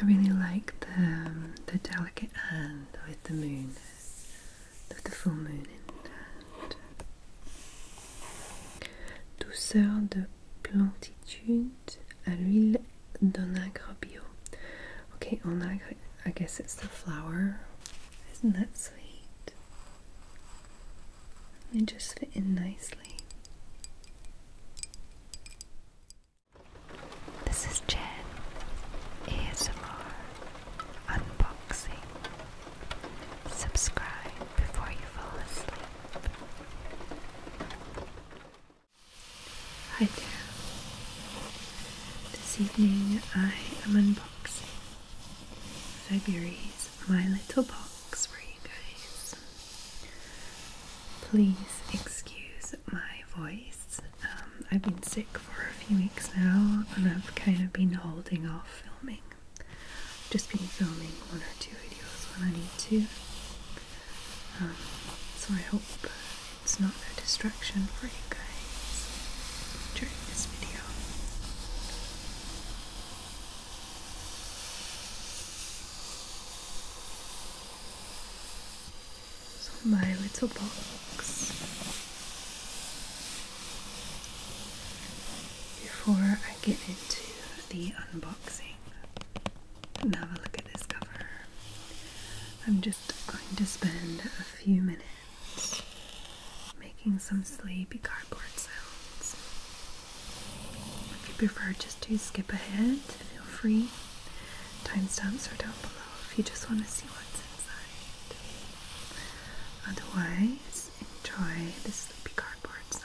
I really like the, um, the delicate hand with the moon, with the full moon in hand. Douceur de plénitude à l'huile d'onagre bio. Okay, onagre, I guess it's the flower. Isn't that sweet? They just fit in nicely. This is Jen ASMR Unboxing. Subscribe before you fall asleep. Hi there. This evening I am unboxing February's My Little Box for you guys. Please excuse my voice. Um, I've been sick for a few weeks now and I've kind of been holding off filming. just been filming one or two videos when I need to. Um, so I hope it's not a distraction for you guys during this video. So my little box before I get into the unboxing and look at this cover. I'm just going to spend a few minutes making some sleepy cardboard sounds. If you prefer just to skip ahead, feel free. Timestamps are down below if you just want to see what's inside. Otherwise, enjoy the sleepy cardboard sounds.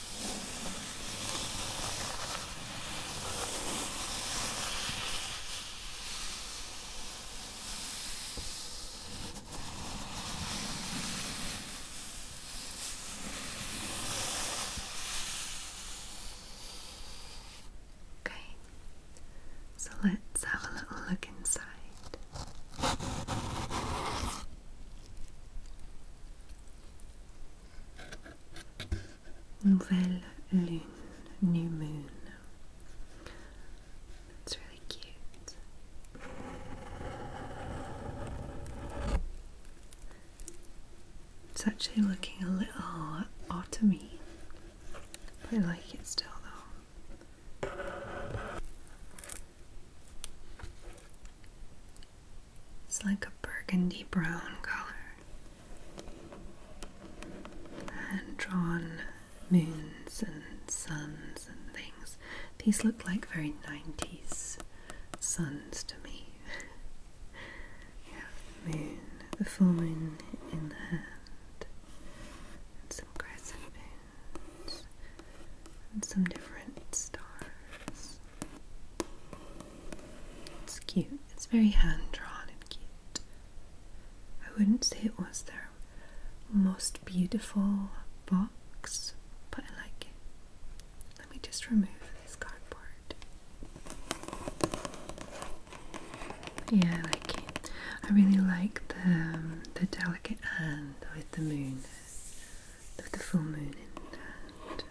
Okay, so let's have a little look inside. Nouvelle Lune, New Moon. That's really cute. It's actually looking a little autumny, but I like it still though. It's like a burgundy brown color. And drawn moons and suns and things. These look like very 90s suns to me. you the moon, the full moon in the hand, and some crescent moons, and some different stars. It's cute. It's very hand drawn and cute. I wouldn't say it was their most beautiful box, but I like it. Let me just remove this cardboard. Yeah, I like it. I really like the um, the delicate hand with the moon, with the full moon in hand.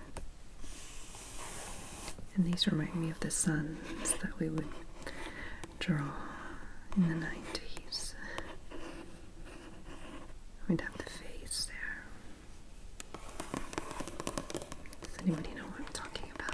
And these remind me of the suns that we would draw in the 90s. We'd have the face there. Does anybody know what I'm talking about?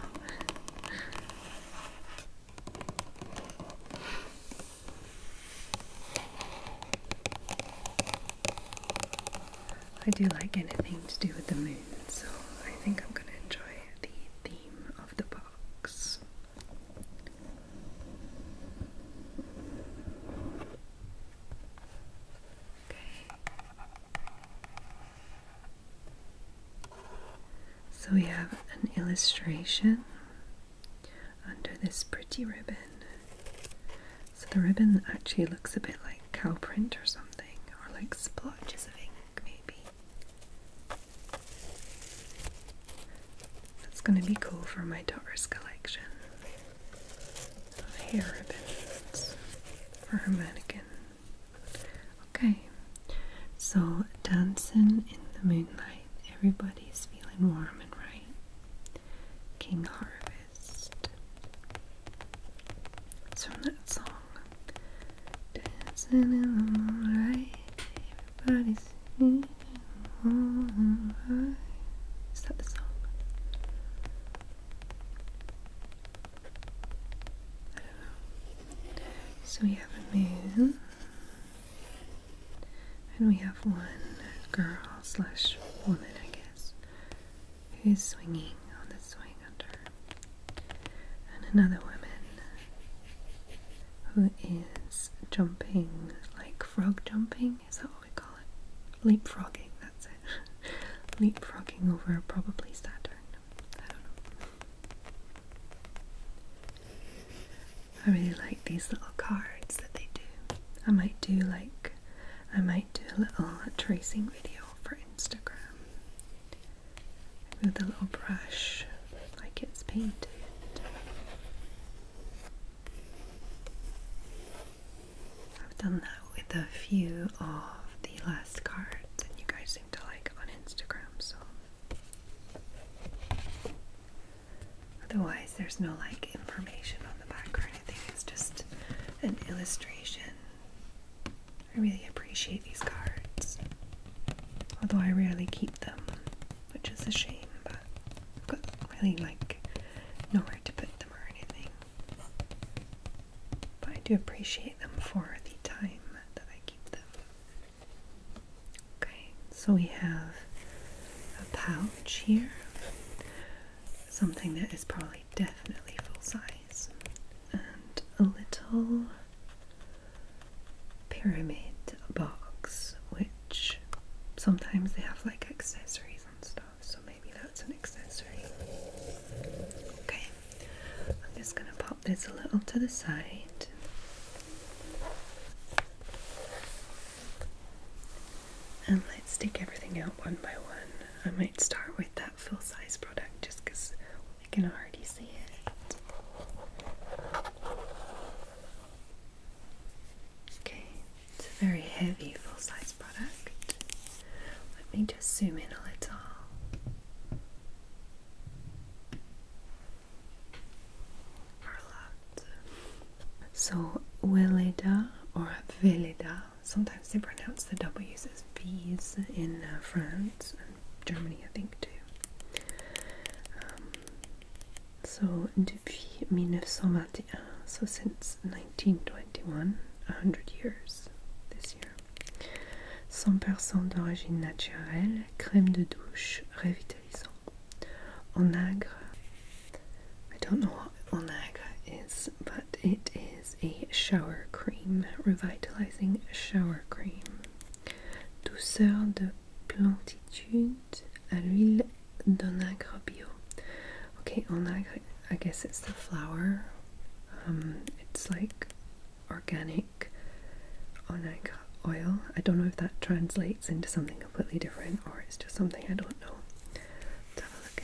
I do like anything to do with the moon, so I think I'm going to enjoy the theme of the box. So we have an illustration under this pretty ribbon so the ribbon actually looks a bit like cow print or something, or like splotches of ink, maybe. That's going to be cool for my daughter's collection of hair ribbons for her mannequin. Okay, so dancing in the moonlight, everybody's feeling warm and right. King Harvey. It's from that song. Dancing in the moonlight, everybody's singing alright. Is that the song? I don't know. So we have a moon, and we have one girl slash woman, I guess, who's swinging on the swing under, and another woman who is jumping like frog jumping. Is that what we call it? Leapfrogging. That's it. Leapfrogging over probably Saturn. I don't know. I really like these little cards that they do. I might do like I might do a little tracing video for Instagram with a little brush like it's painted. I've done that with a few of the last cards, and you guys seem to like on Instagram, so. Otherwise, there's no like information on the back or anything, it's just an illustration. I really appreciate these cards, although I rarely keep them, which is a shame, but I've got really like nowhere to put them or anything. But I do appreciate them for the time that I keep them. Okay, so we have a pouch here, something that is probably definitely, full size. And a little pyramid box, which sometimes they have like accessories and stuff, so maybe that's an accessory. Okay, I'm just gonna pop this a little to the side. And let's take everything out one by one. I might start with that full size product just because we can already see it. Okay, it's a very heavy full size product. Let me just zoom in a little. Or So, Velida or Velida? sometimes they pronounce the W's as V's in uh, France and Germany, I think, too. Um, so, depuis 1921, so since 1921, 100 years this year. 100% d'origine naturelle, crème de douche, revitalisant. En agre, I don't know what Onega is, but it is a shower cream, revitalizing shower cream. Douceur de plantitude à l'huile d'onagre bio. Okay, onagre, I guess it's the flower. Um, it's like organic onagre oil. I don't know if that translates into something completely different or it's just something I don't know. Let's have a look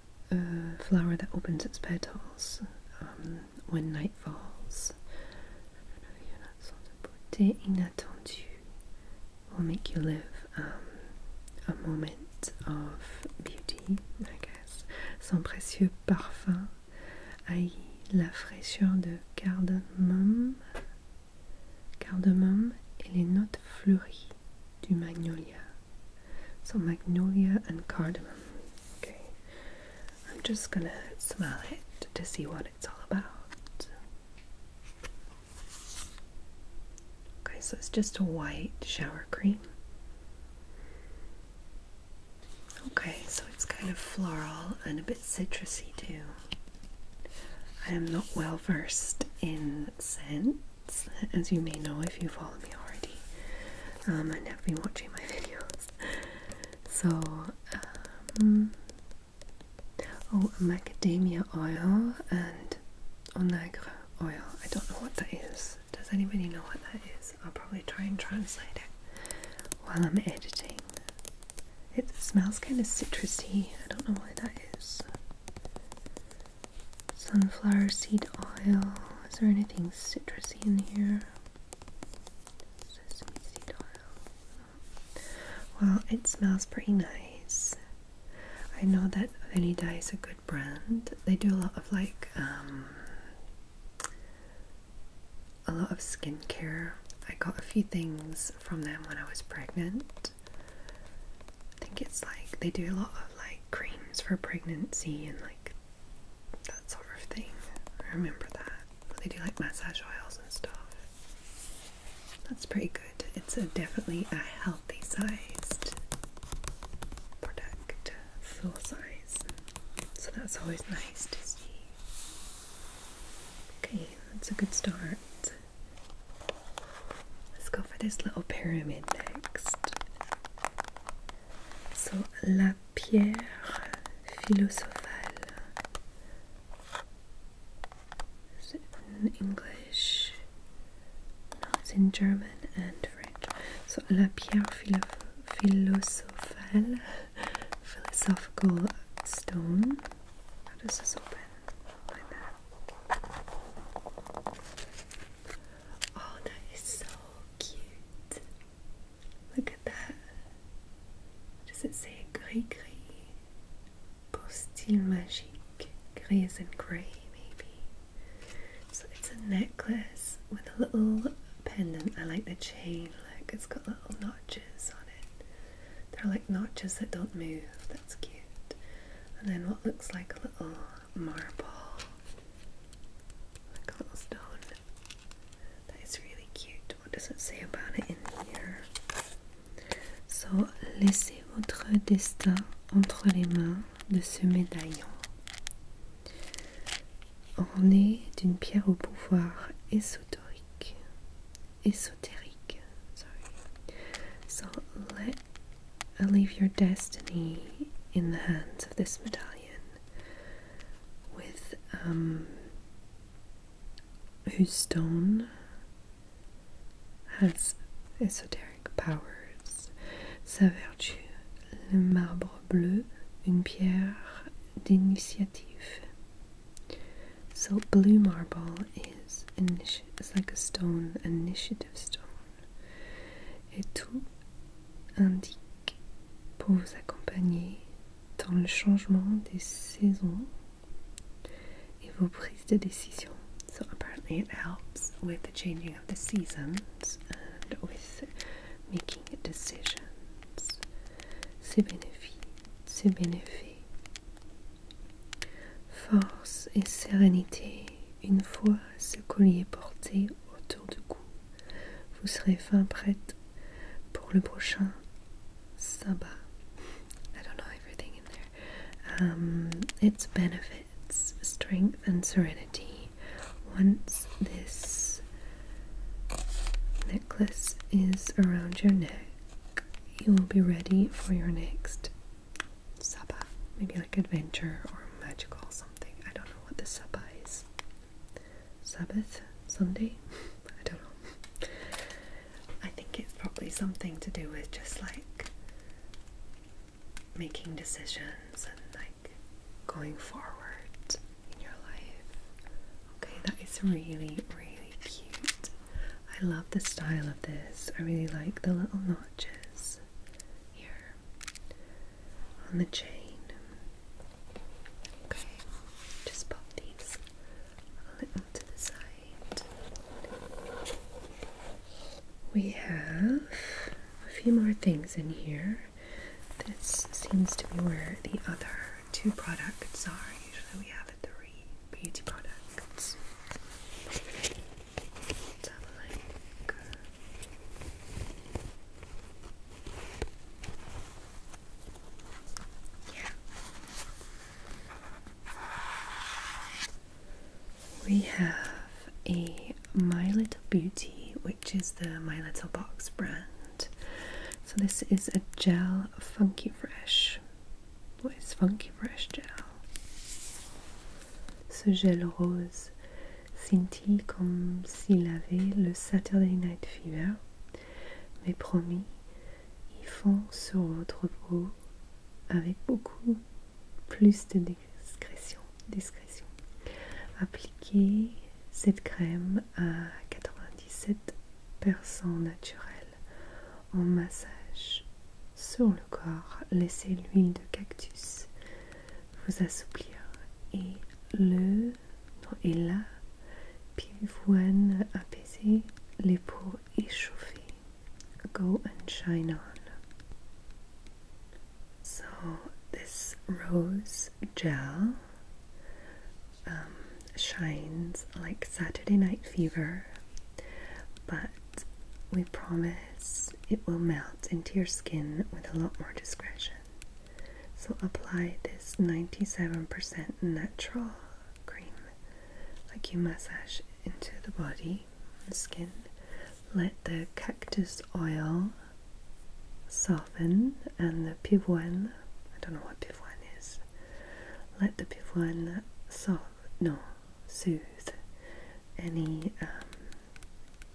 a flower that opens its petals um, when night falls. Beauté inattendue will make you live um, a moment of beauty, I guess. Son précieux parfum haillit la fraîcheur de cardamome, cardamome et les notes fleuries du magnolia. So magnolia and cardamom. Okay. I'm just gonna smell it to see what it's all about. Okay, so it's just a white shower cream. Okay, so it's kind of floral and a bit citrusy too. I am not well versed in scents, as you may know if you follow me already. Um, I've never been watching my videos. so, um, oh, macadamia oil and onagre oil. I don't know what that is. Does anybody know what that is? I'll probably try and translate it while I'm editing. It smells kind of citrusy. I don't know why that is sunflower seed oil. Is there anything citrusy in here? Sesame oil. Well, it smells pretty nice. I know that Venida is a good brand. They do a lot of like um, a lot of skincare. I got a few things from them when I was pregnant. I think it's like they do a lot of like creams for pregnancy and like that sort of thing. I remember that. They do like massage oils and stuff. That's pretty good. It's definitely a healthy sized product, full size. So that's always nice to see. Okay, that's a good start. Let's go for this little pyramid next. So, la pierre philosophale in English? No, it's in German and French. So, la pierre philosophale, philosophical stone. How does this open? Oh, that is so cute. Look at that. Does it say gris gris? Beau style magique. Gris and grey, maybe. So it's a necklace with a little pendant. I like the chain. Look, it's got little notches on it. They're like notches that don't move. That's cute. And then what looks like a little marble a stone. That is really cute. What does it say about it in here? So, laissez votre destin entre les mains de ce médaillon. Orné d'une pierre au pouvoir ésotérique Esoteric. Sorry. So, I leave your destiny in the hands of this medallion with um whose stone has esoteric powers. Sa vertu, le marbre bleu, une pierre d'initiative. So blue marble is like a stone, an initiative stone. et tout indique pour vous accompagner dans le changement des saisons et vos prises de décision. So apparently it helps with the changing of the seasons and with making decisions. C'est bénéfique, c'est bénéfique. Force et sérénité une fois I don't know everything in there. Um, its benefits, strength, and serenity. Once this necklace is around your neck, you will be ready for your next Sabbath, Maybe like adventure or magical something. I don't know what the Sabbath is. Sabbath? Sunday? I don't know. I think it's probably something to do with just like making decisions and like going forward in your life. Okay, that is really, really cute. I love the style of this. I really like the little notches here on the chain. Okay, just pop these a little to the side. We have a few more things in here. This seems to be where the other two products are. Usually we have three beauty products. We have a My Little Beauty, which is the My Little Box brand. So this is a gel Funky Fresh. What is Funky Fresh gel? Ce gel rose scintille comme s'il avait le Saturday Night Fever. Mais promis, il fond sur votre peau avec beaucoup plus de discrétion. discrétion. Appliquez cette crème à 97% naturelle en massage sur le corps. Laissez l'huile de cactus vous assouplir. Et le, et la pivoine apaisée, les peaux échauffées. Go and shine on. So, this rose gel um, shines like Saturday Night Fever, but we promise it will melt into your skin with a lot more discretion. So apply this 97% natural cream like you massage into the body and skin. Let the cactus oil soften and the pivoine, I don't know what pivoine is, let the pivoine soft, no, soothe any um,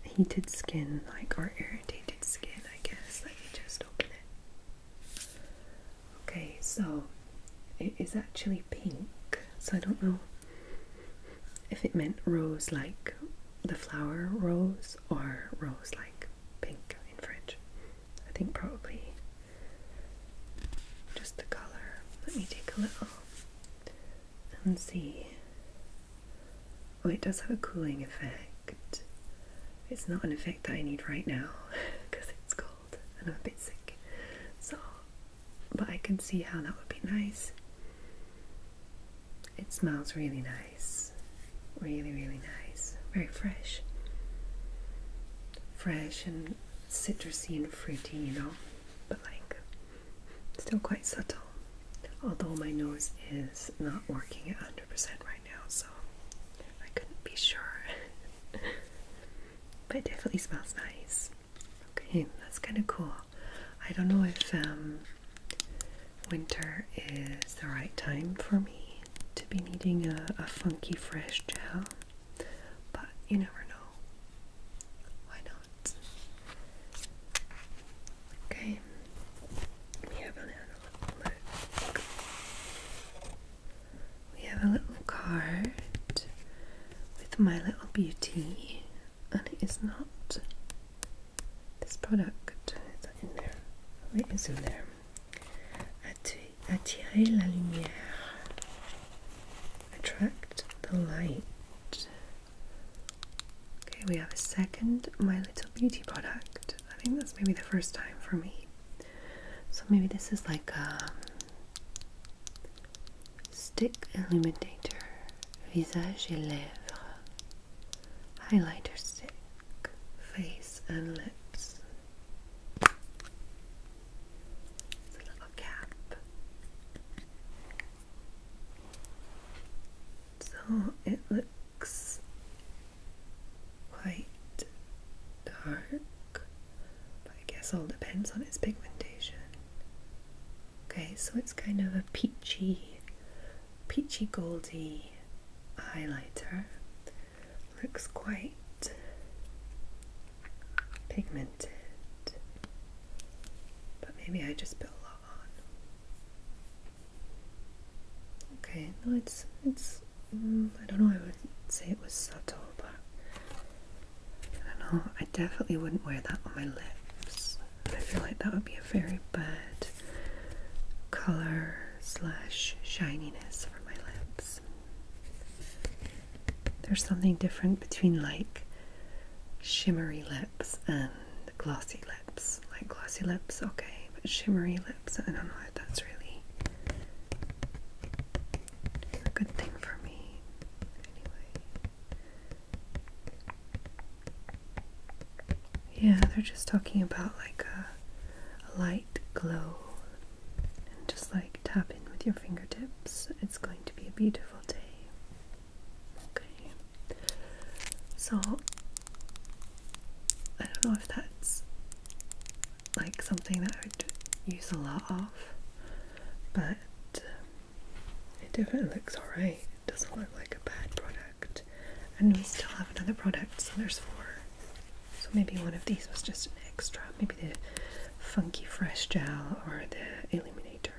heated skin, like or irritated skin, I guess. Let me just open it. Okay, so it is actually pink, so I don't know if it meant rose like the flower rose or rose like pink in French. I think probably just the colour. Let me take a little and see. Oh, it does have a cooling effect. It's not an effect that I need right now because it's cold and I'm a bit sick. So, but I can see how that would be nice. It smells really nice. Really, really nice. Very fresh. Fresh and citrusy and fruity, you know but like still quite subtle. Although my nose is not working at 100% right now, so I couldn't be sure. but it definitely smells nice. Okay, that's kind of cool. I don't know if um, winter is the right time for me to be needing a, a funky fresh gel, but you never know. Why not? Okay, we have a little We have a little card with My Little Beauty, and it is not this product. Is in there? Oh, it is in there. Attirer la lumière. Attract the light. Okay, we have a second My Little Beauty product. I think that's maybe the first time for me. So maybe this is like a um, stick illuminator, visage et lèvres, highlighter stick, face and lips. It's a little cap. So it looks quite dark, but I guess all depends on its pigmentation. Okay, so it's kind of a peachy, peachy goldy highlighter. Looks quite pigmented. But maybe I just put a lot on. Okay, no, it's it's. Mm, I don't know. I would say it was subtle, but I don't know. I definitely wouldn't wear that on my lips. I feel like that would be a very bad color slash shininess for my lips. There's something different between like shimmery lips and glossy lips. Like glossy lips, okay, but shimmery lips, I don't know if that's really a good thing for me. Anyway. Yeah, they're just talking about like a, a light glow. And just like tap in with your fingertips. It's going to be a beautiful day. Okay. So I don't know if that's like something that I would use a lot of, but um, it definitely looks alright. It doesn't look like a bad product. And we still have another product, so there's four. So maybe one of these was just an extra. Maybe the Funky Fresh Gel or the Illuminator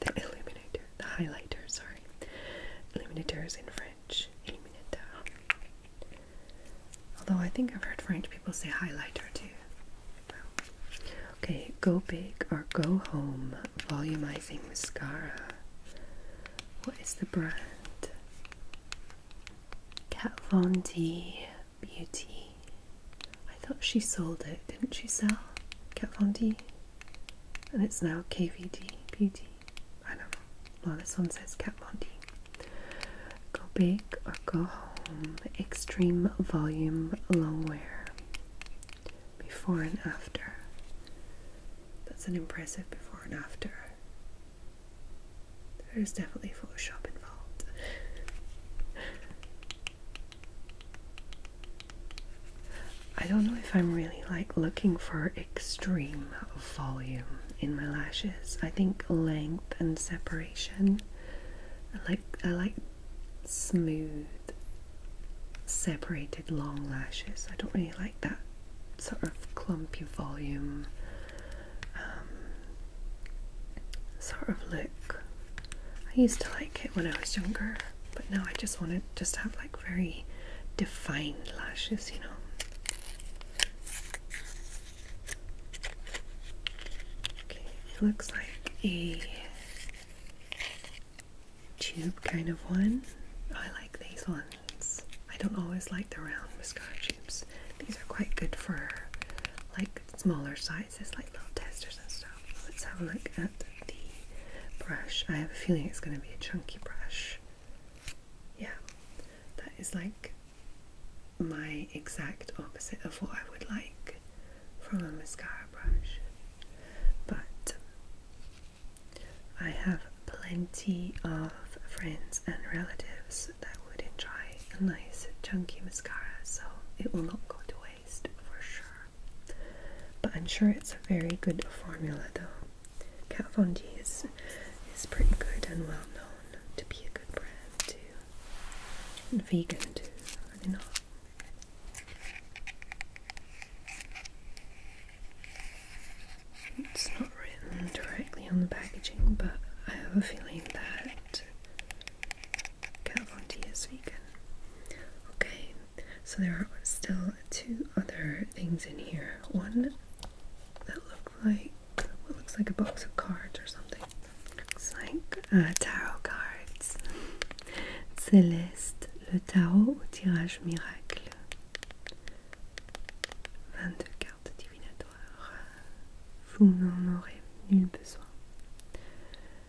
the illuminator, the highlighter, sorry. Illuminator is in French, illuminateur. Although I think I've heard French people say highlighter too. Okay, Go Big or Go Home Volumizing Mascara. What is the brand? Kat Von D Beauty. I thought she sold it, didn't she sell Kat Von D? And it's now KVD Beauty. I don't know. Well, this one says Kat Von D. Go big or go home. Extreme volume long longwear. Before and after. That's an impressive before and after. There's definitely Photoshop involved. I don't know if I'm really like looking for extreme volume in my lashes. I think length and separation. like I like smooth separated long lashes. I don't really like that sort of clumpy volume um, sort of look. I used to like it when I was younger, but now I just want to just have like very defined lashes, you know. Okay, it looks like a tube kind of one. I like these ones. I don't always like the round mascara tubes. These are quite good for like smaller size slides as like little testers and stuff. Let's have a look at the brush. I have a feeling it's going to be a chunky brush. Yeah, that is like my exact opposite of what I would like from a mascara brush. But I have plenty of friends and relatives that would enjoy a nice chunky mascara, so it will not go to waste for sure. But I'm sure it's a very good formula though. Kat Von D is, is pretty good and well known to be a good brand too. And vegan too, are they not? It's not written directly on the packaging, but I have a feeling that Kat is vegan. Okay, so there are still two other things in here. One that look like what looks like a box of cards or something. Looks like uh, tarot cards. Céleste, le tarot au tirage miracle. 22 cartes divinatoires. Vous n'en aurez nul besoin.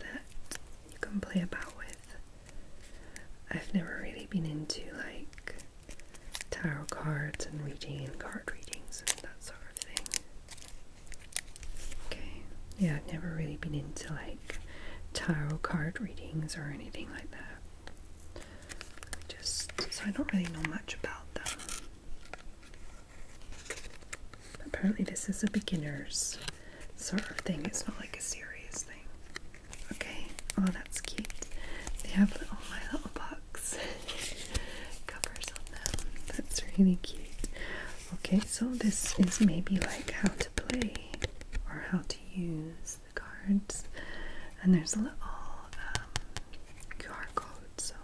that you can play about with. I've never really been into like tarot cards and reading and card readings and that sort of thing. Okay, yeah, I've never really been into like tarot card readings or anything like that. Just so I don't really know much about that. Apparently, this is a beginner's sort of thing. It's not like a serious thing. Okay. Oh, that's cute. They have little My Little Box covers on them. That's really cute. Okay, so this is maybe like how to play or how to use the cards. And there's a little um, QR code, so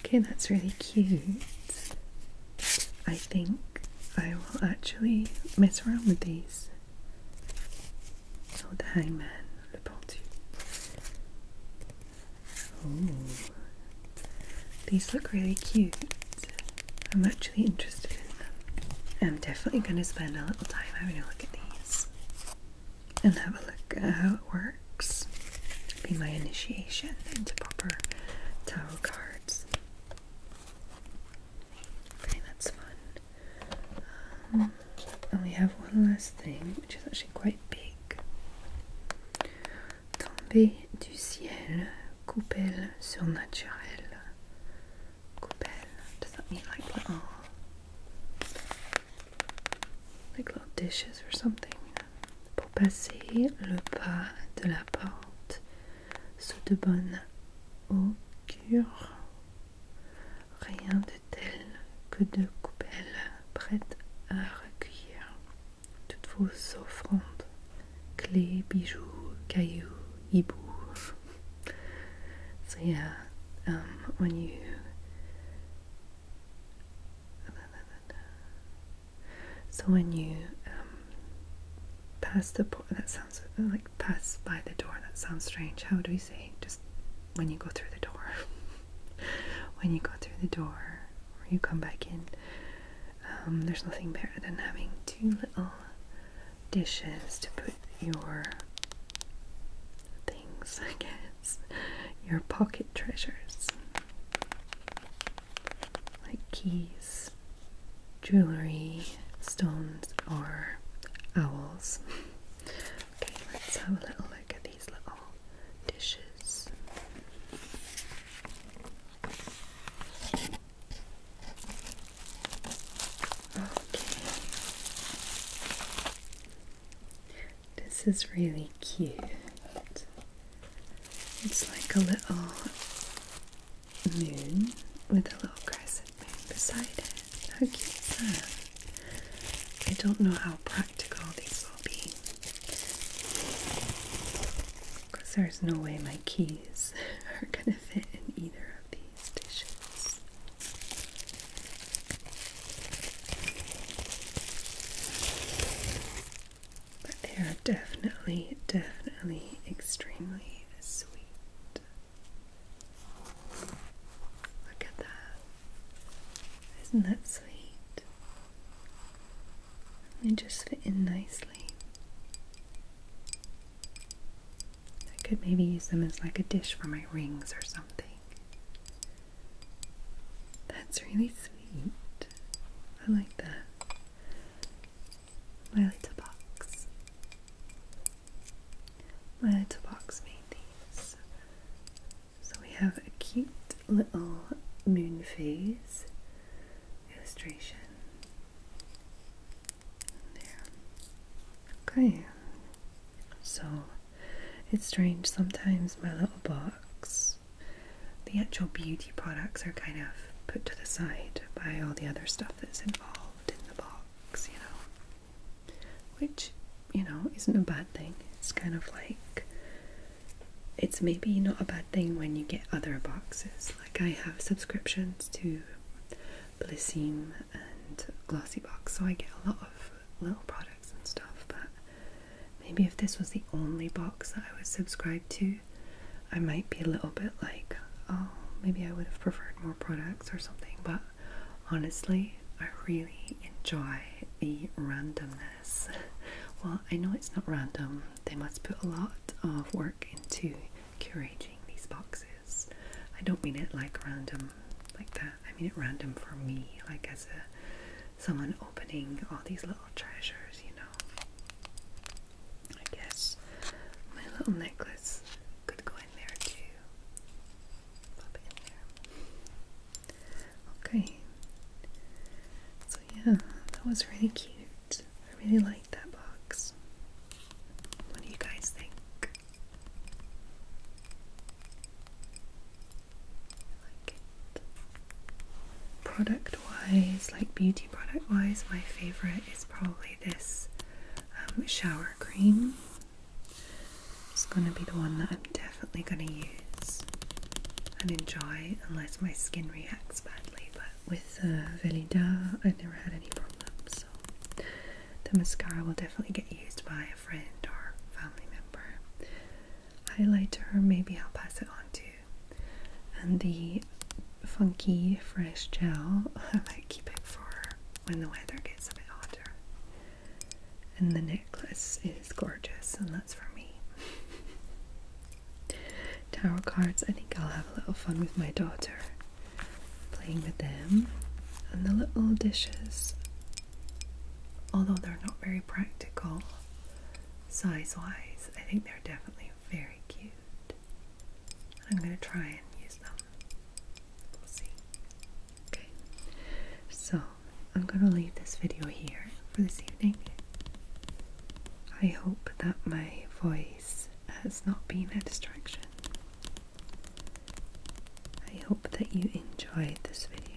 Okay, that's really cute. I think I will actually mess around with these. Oh, hangman, Le Pentu. Oh, these look really cute. I'm actually interested in them. I'm definitely going to spend a little time having a look at these and have a look at how it works. Be my initiation into proper tarot cards. Okay, that's fun. Um, and we have one last thing, which is actually quite big. Tombée du ciel, coupelles surnaturelles. Coupelle, does that mean like little, like little dishes or something? pour passer le pas de la porte sous de bonnes augures. Rien de tel que de coupelles prêtes à recueillir toutes vos offrandes, clés, bijoux, cailloux, hiboux. Ça So when you um, pass the port, that sounds like pass by the door, that sounds strange. How do we say? Just when you go through the door. when you go through the door or you come back in, um, there's nothing better than having two little dishes to put your things, I guess, your pocket treasures like keys, jewelry, stones, or owls. okay, let's have a little look at these little dishes. Okay. This is really cute. It's like a little moon with a little crescent moon beside it. How cute is that? I don't know how practical these will be. Because there's no way my keys are going to fit in either of these dishes. But they are definitely, definitely extremely sweet. Look at that. Isn't that sweet? They just fit in nicely. I could maybe use them as like a dish for my rings or something. That's really sweet. I like that. My little box. My little box made these. So we have a cute little moon phase illustration. There. Okay. So it's strange sometimes my little box the actual beauty products are kind of put to the side by all the other stuff that's involved in the box, you know. Which, you know, isn't a bad thing. It's kind of like it's maybe not a bad thing when you get other boxes. Like I have subscriptions to Blissim and Glossy Box, so I get a lot of little products and stuff, but Maybe if this was the only box that I was subscribed to, I might be a little bit like, oh, maybe I would have preferred more products or something. But honestly, I really enjoy the randomness. Well, I know it's not random, they must put a lot of work into curating these boxes. I don't mean it like random like that, I mean it random for me, like as a someone opening all these little treasures, you know. I guess my little necklace could go in there too. Pop it in there. Okay. So, yeah, that was really cute. I really like that box. What do you guys think? Product wise, like beauty product wise, my favorite is probably this um, shower cream. It's going to be the one that I'm definitely going to use and enjoy unless my skin reacts badly. But with Velida, I've never had any problems. the mascara will definitely get used by a friend or family member highlighter, maybe I'll pass it on to And the funky fresh gel, I might keep it for when the weather gets a bit hotter. And the necklace is gorgeous, and that's for me. Tarot cards, I think I'll have a little fun with my daughter playing with them. And the little dishes, although they're not very practical, size wise, I think they're definitely very cute. I'm going to try and use them. We'll see. Okay, so I'm going to leave this video here for this evening. I hope that my voice has not been a distraction. I hope that you enjoyed this video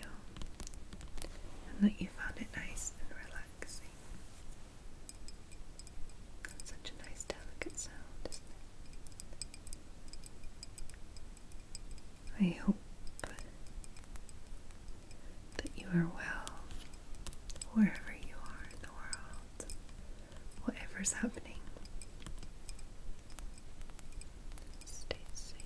that you found it nice and relaxing. such a nice, delicate sound, I hope that you are well wherever you are in the world, whatever's happening. Stay safe.